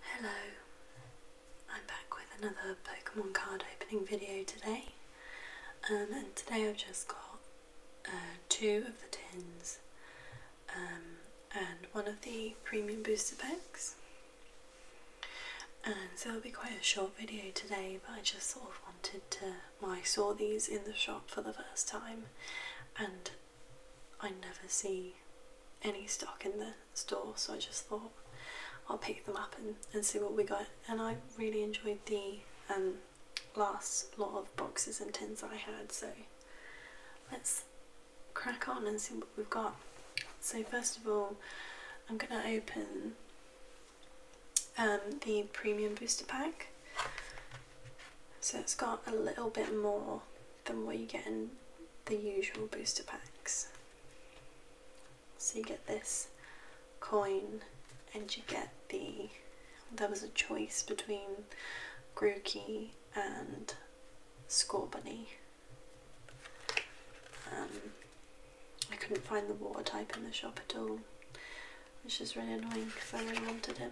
Hello, I'm back with another Pokemon card opening video today um, and today I've just got uh, two of the tins um, and one of the premium booster packs and so it'll be quite a short video today but I just sort of wanted to, well I saw these in the shop for the first time and I never see any stock in the store, so I just thought I'll pick them up and, see what we got. And I really enjoyed the um, last lot of boxes and tins I had, so let's crack on and see what we've got. So first of all, I'm going to open um, the premium booster pack. So it's got a little bit more than what you get in the usual booster packs. So you get this coin and you get the there was a choice between Grooky and Scorbunny. Um, I couldn't find the water type in the shop at all, which is really annoying because I really wanted him.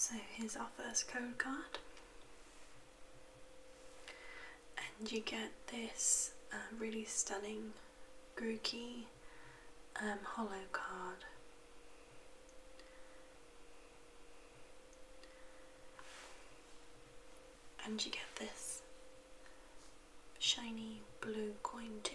So here's our first code card and you get this um, really stunning Grookey um, hollow card. And you get this shiny blue coin too.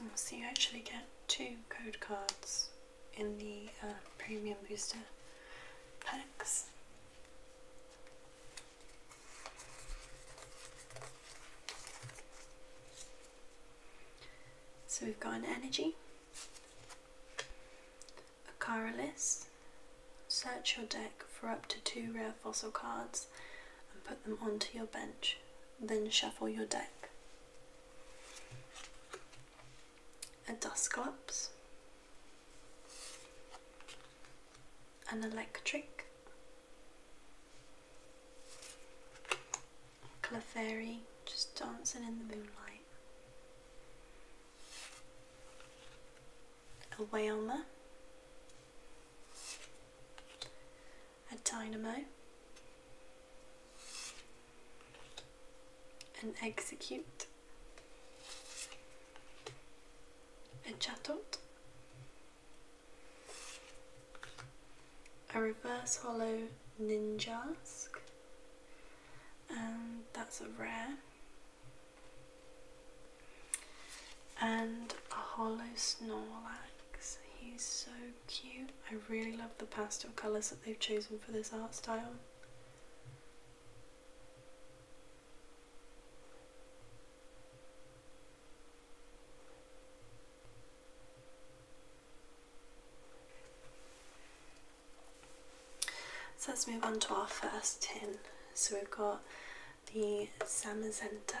Oh, so you actually get two code cards in the uh, premium booster packs. So we've got an energy, a Karalis, search your deck for up to two rare fossil cards and put them onto your bench, then shuffle your deck. A Dusclops, an Electric, Clefairy, just dancing in the moonlight, a Whalmer, a dynamo, an execute, a chatot, a reverse hollow ninjask, and that's a rare and a hollow Snorlax. He's so cute. I really love the pastel colours that they've chosen for this art style. So let's move on to our first tin. So we've got the Samazenta.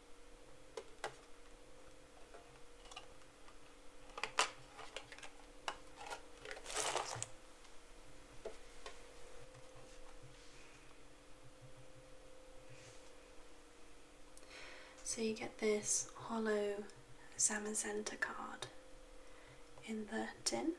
So you get this hollow Zamazenta card in the tin.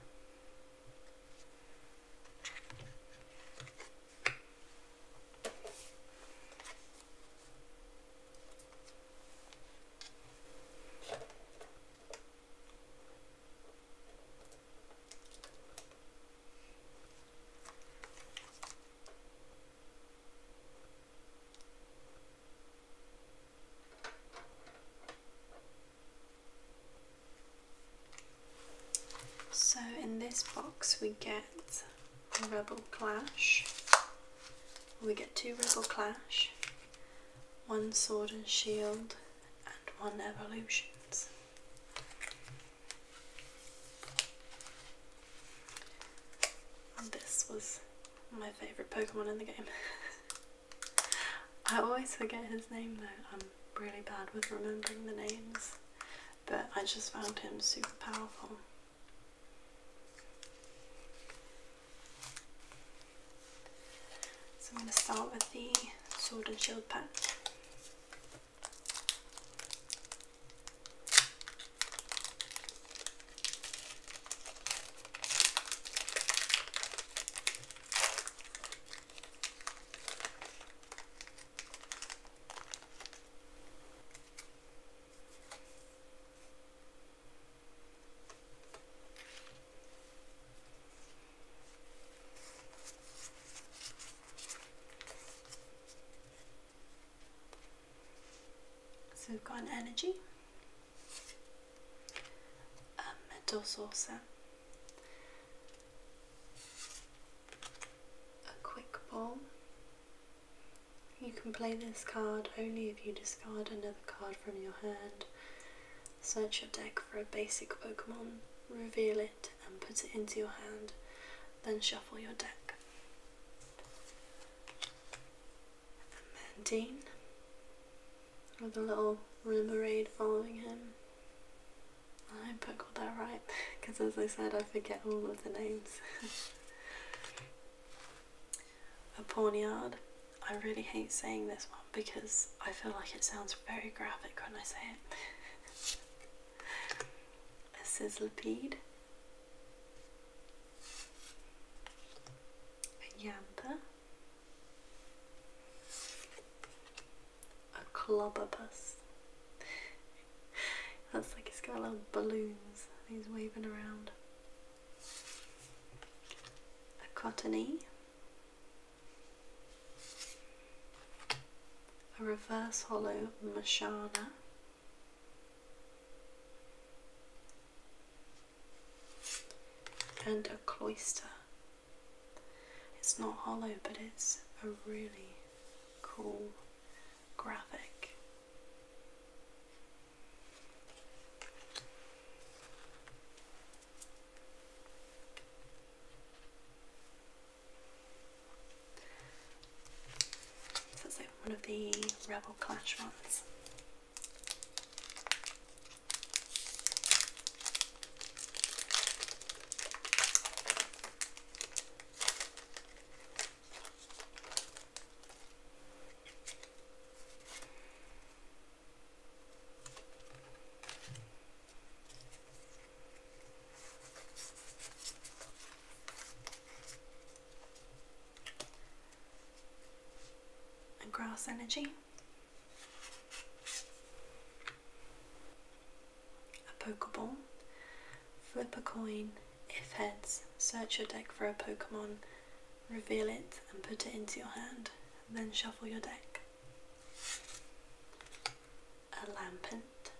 So in this box we get Rebel Clash. We get two Rebel Clash, one Sword and Shield, and one Evolutions. And this was my favourite Pokemon in the game. I always forget his name though, I'm really bad with remembering the names but I just found him super powerful. So I'm going to start with the sword and shield pack. So we've got energy, a metal saucer, a quick ball, you can play this card only if you discard another card from your hand. Search your deck for a basic Pokemon, reveal it, and put it into your hand, then shuffle your deck. And with a little Remoraid following him. I hope I that right because as I said I forget all of the names. A pornyard. I really hate saying this one because I feel like it sounds very graphic when I say it. A sizzlipede. A yantha. A clobopus. That's like it's got little balloons he's waving around. A cottony. A reverse hollow Mashana. And a cloister. It's not hollow, but it's a really cool graphic. like one of the Rebel Clash ones and grass energy a Pokeball, flip a coin, if heads, search your deck for a Pokemon, reveal it and put it into your hand, then shuffle your deck. A Lampant,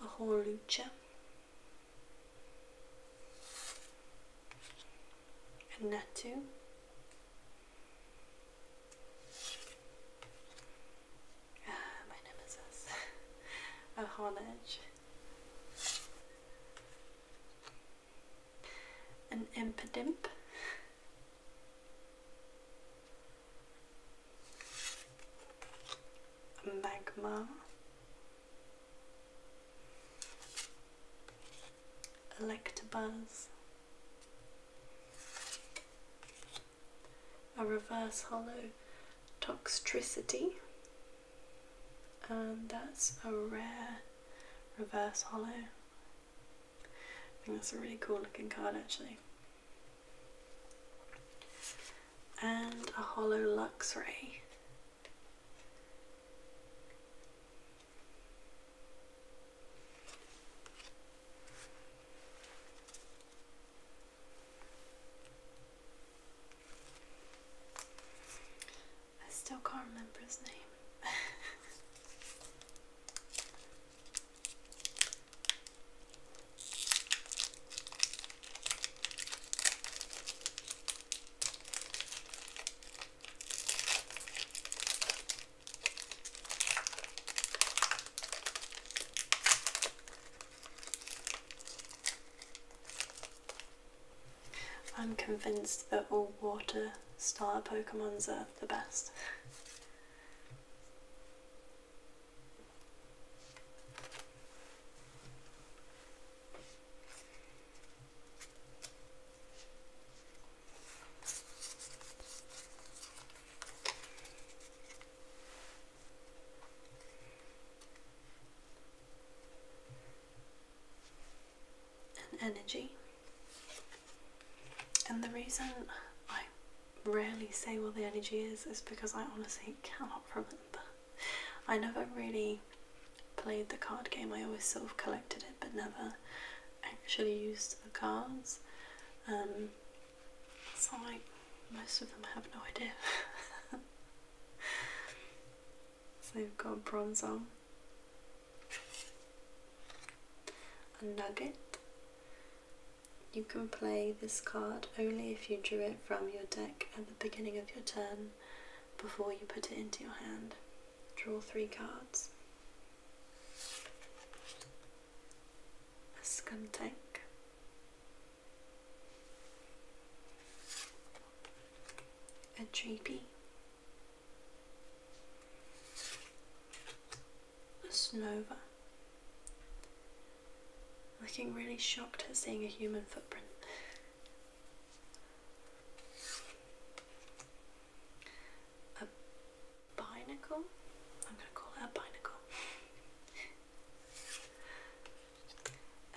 a Horlucha, a Natu, Ah, my nemesis. a homage. An impadimp, A magma. Electabuzz a reverse hollow toxtricity and that's a rare reverse hollow I think that's a really cool looking card actually and a hollow Luxray I still can't remember his name. I'm convinced that all water star Pokemons are the best and energy. And the reason I rarely say what the energy is is because I honestly cannot remember. I never really played the card game, I always sort of collected it but never actually used the cards. Um, so like most of them have no idea. so we've got Bronzong, a Nugget. You can play this card only if you drew it from your deck at the beginning of your turn before you put it into your hand. Draw three cards. A scum tank. A treepy. A snova. Looking really shocked at seeing a human footprint. A binacle. I'm going to call it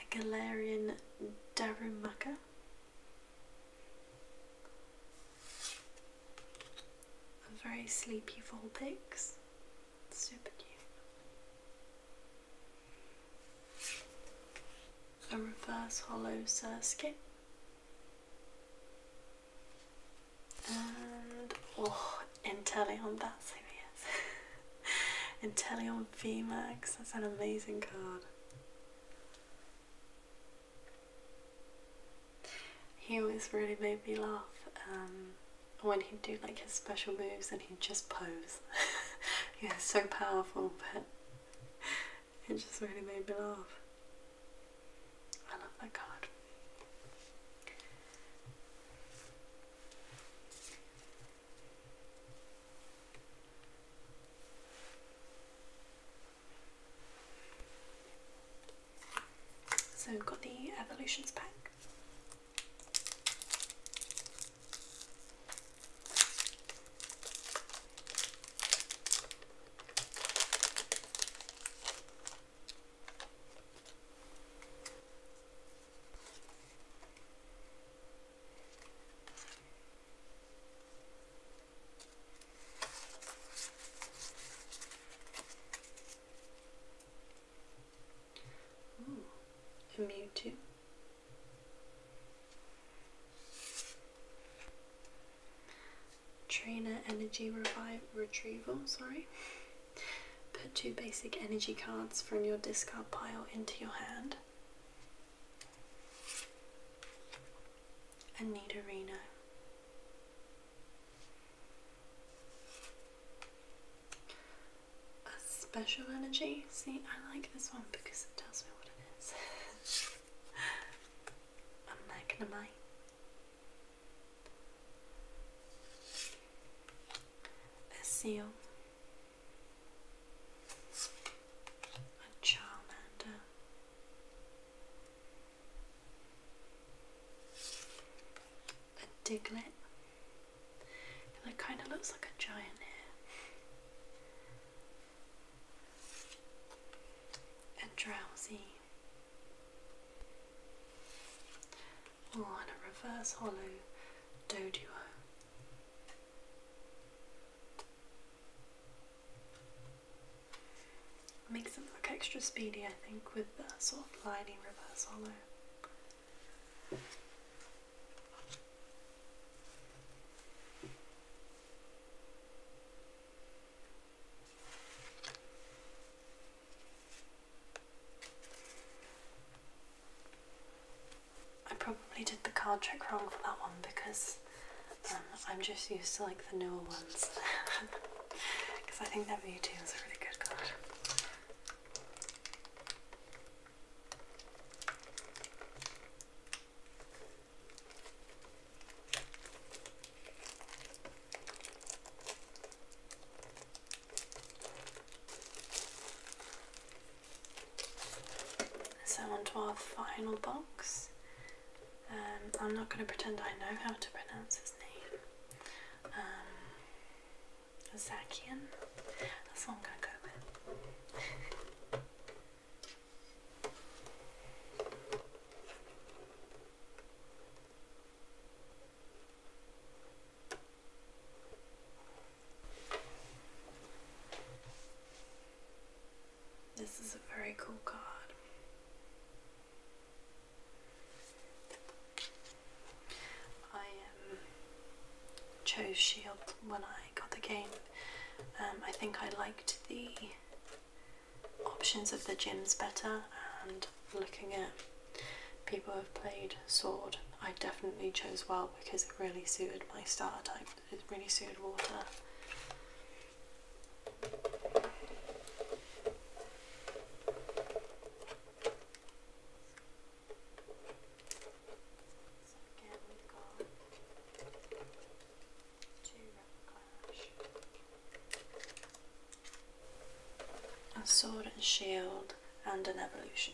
a binacle. a Galarian Darumaka. A very sleepy Volpix. Super cute. A reverse hollow Surskit. And, oh, Inteleon, that's who he is. Inteleon VMAX, that's an amazing card. He always really made me laugh um, when he'd do like his special moves and he'd just pose. he so powerful, but it just really made me laugh. I love that card. So we've got the evolutions pack. I'm a too trainer energy revive retrieval sorry put two basic energy cards from your discard pile into your hand and need a reno a special energy see i like this one because it tells me what it is a magnemite Azil, a Charmander, a Diglett, and it kind of looks like a giant here, a Drowsy or oh, on a reverse hollow dodo Makes it look extra speedy, I think, with the sort of lining reverse hollow. I probably did the card trick wrong for that one because um, I'm just used to like the newer ones because I think that Mewtwo is a really good card. So onto our final box. Um, I'm not going to pretend I know how to pronounce his name. Um, Zakian. That's going to go with. This is a very cool card. I um, chose Shield when I got the game. Um, I think I liked the options of the gyms better and looking at people who've played sword I definitely chose well because it really suited my starter type it really suited water to a sword and shield and an evolution.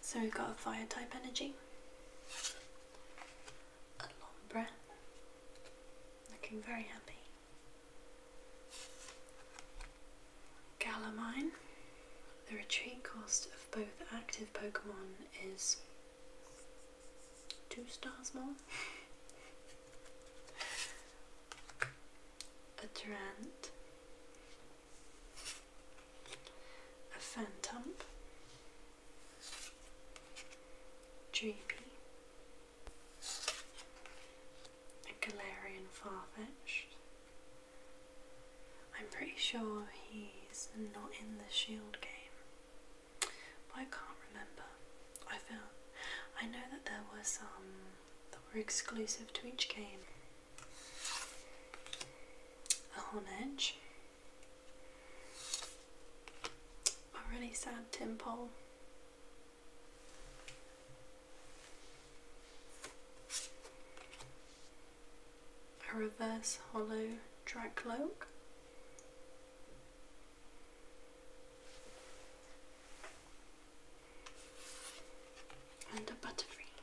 So we've got a fire type energy, a Lombre, looking very happy. Galamine, the retreat cost of both active Pokemon is two stars more. a Durant, a phantom, Dreamy, a Galarian Farfetch'd. I'm pretty sure he's not in the shield game, I can't remember. I felt I know that there were some that were exclusive to each game a horn edge, a really sad tin pole. A reverse hollow drag cloak, And a butterfree.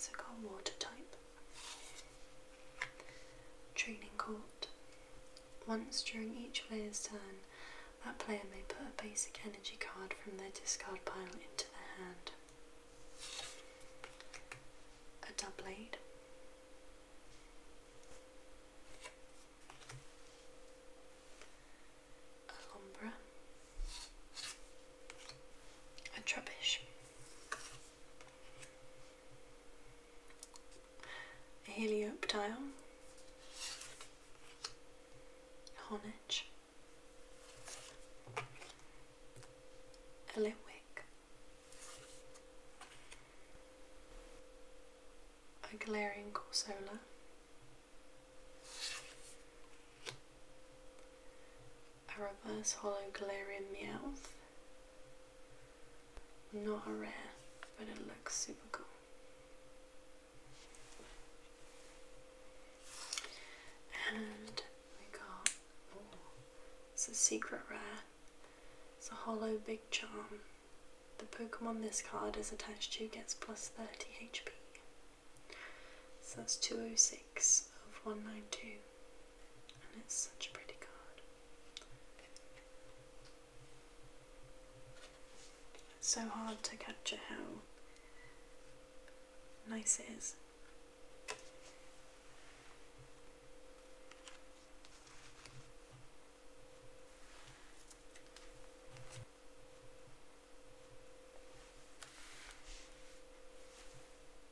So got water type. Training Court. Once during each player's turn, that player may put a basic energy card from their discard pile into their hand. A double aid. A lombra. A trubbish a Helioptile, a Honedge, a Litwick, a Galarian Corsola, a Reverse Hollow Galarian Meowth, not a rare, but it looks super cool. And we got, oh, it's a secret rare. It's a hollow big charm. The Pokemon this card is attached to gets plus 30 HP. So that's 206 of 192 it's such a pretty card. It's so hard to capture how nice it is.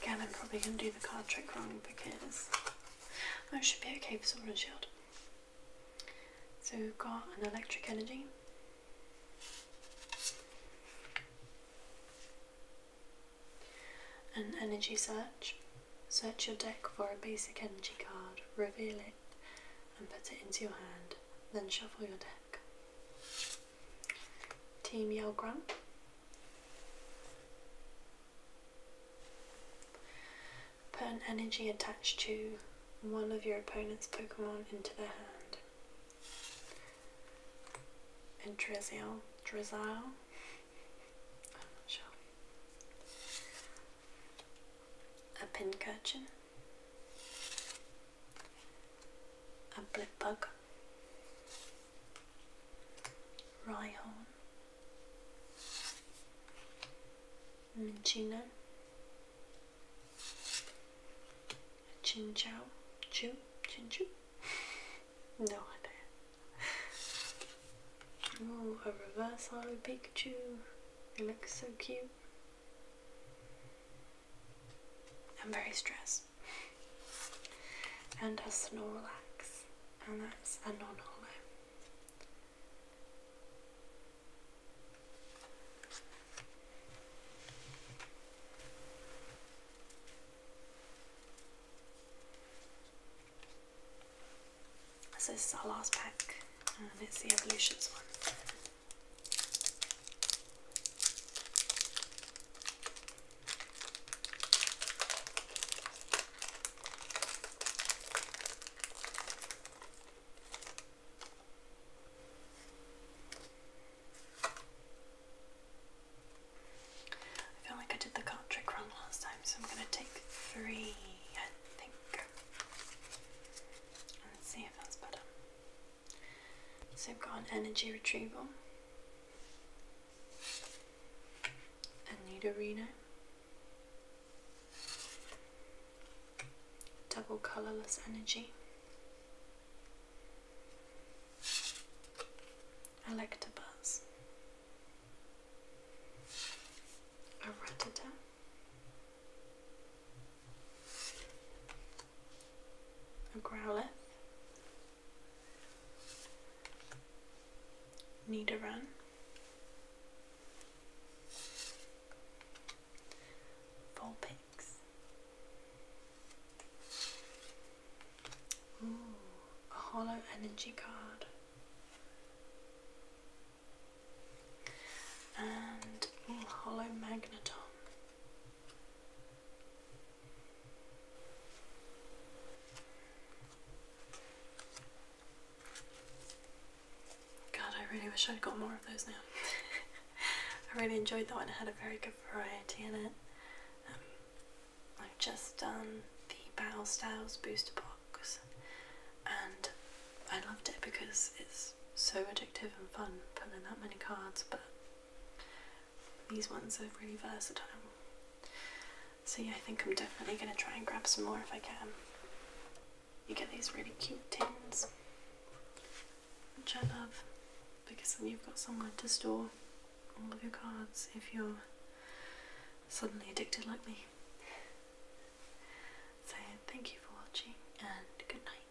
Again, I'm probably going to do the card trick wrong because I should be okay for Sword and Shield. So we've got an electric energy. An energy search. Search your deck for a basic energy card, reveal it and put it into your hand, then shuffle your deck. Team Yelgram. Put an energy attached to one of your opponent's Pokemon into their hand. And Drizzle. Drizzle? I'm not sure. A Pincurchin. A Blipbug. Rhyhorn, Minchino, Chinchou, Chu, Chinchu, no idea. Oh, a reverse hollow Pikachu, it looks so cute. I'm very stressed. And a Snorlax. And that's a non hollow. So this is our last pack, and it's the Evolutions one. I feel like I did the card trick wrong last time, so I'm going to take three, I think, and see if that's better. So I've got an energy retrieval, a Reno, double colourless energy, Electabuzz, a Rattata, a Growlithe, Need a run. Vulpix. Ooh, a hollow energy card. And ooh, hollow magneton. God, I really wish I'd got more of those now. I really enjoyed that one, it had a very good variety in it. Um, I've just done the Battle Styles booster box and I loved it because it's so addictive and fun pulling that many cards, but these ones are really versatile. So yeah, I think I'm definitely going to try and grab some more if I can. You get these really cute tins, which I love, because then you've got somewhere to store all of your cards if you're suddenly addicted like me. So thank you for watching and good night.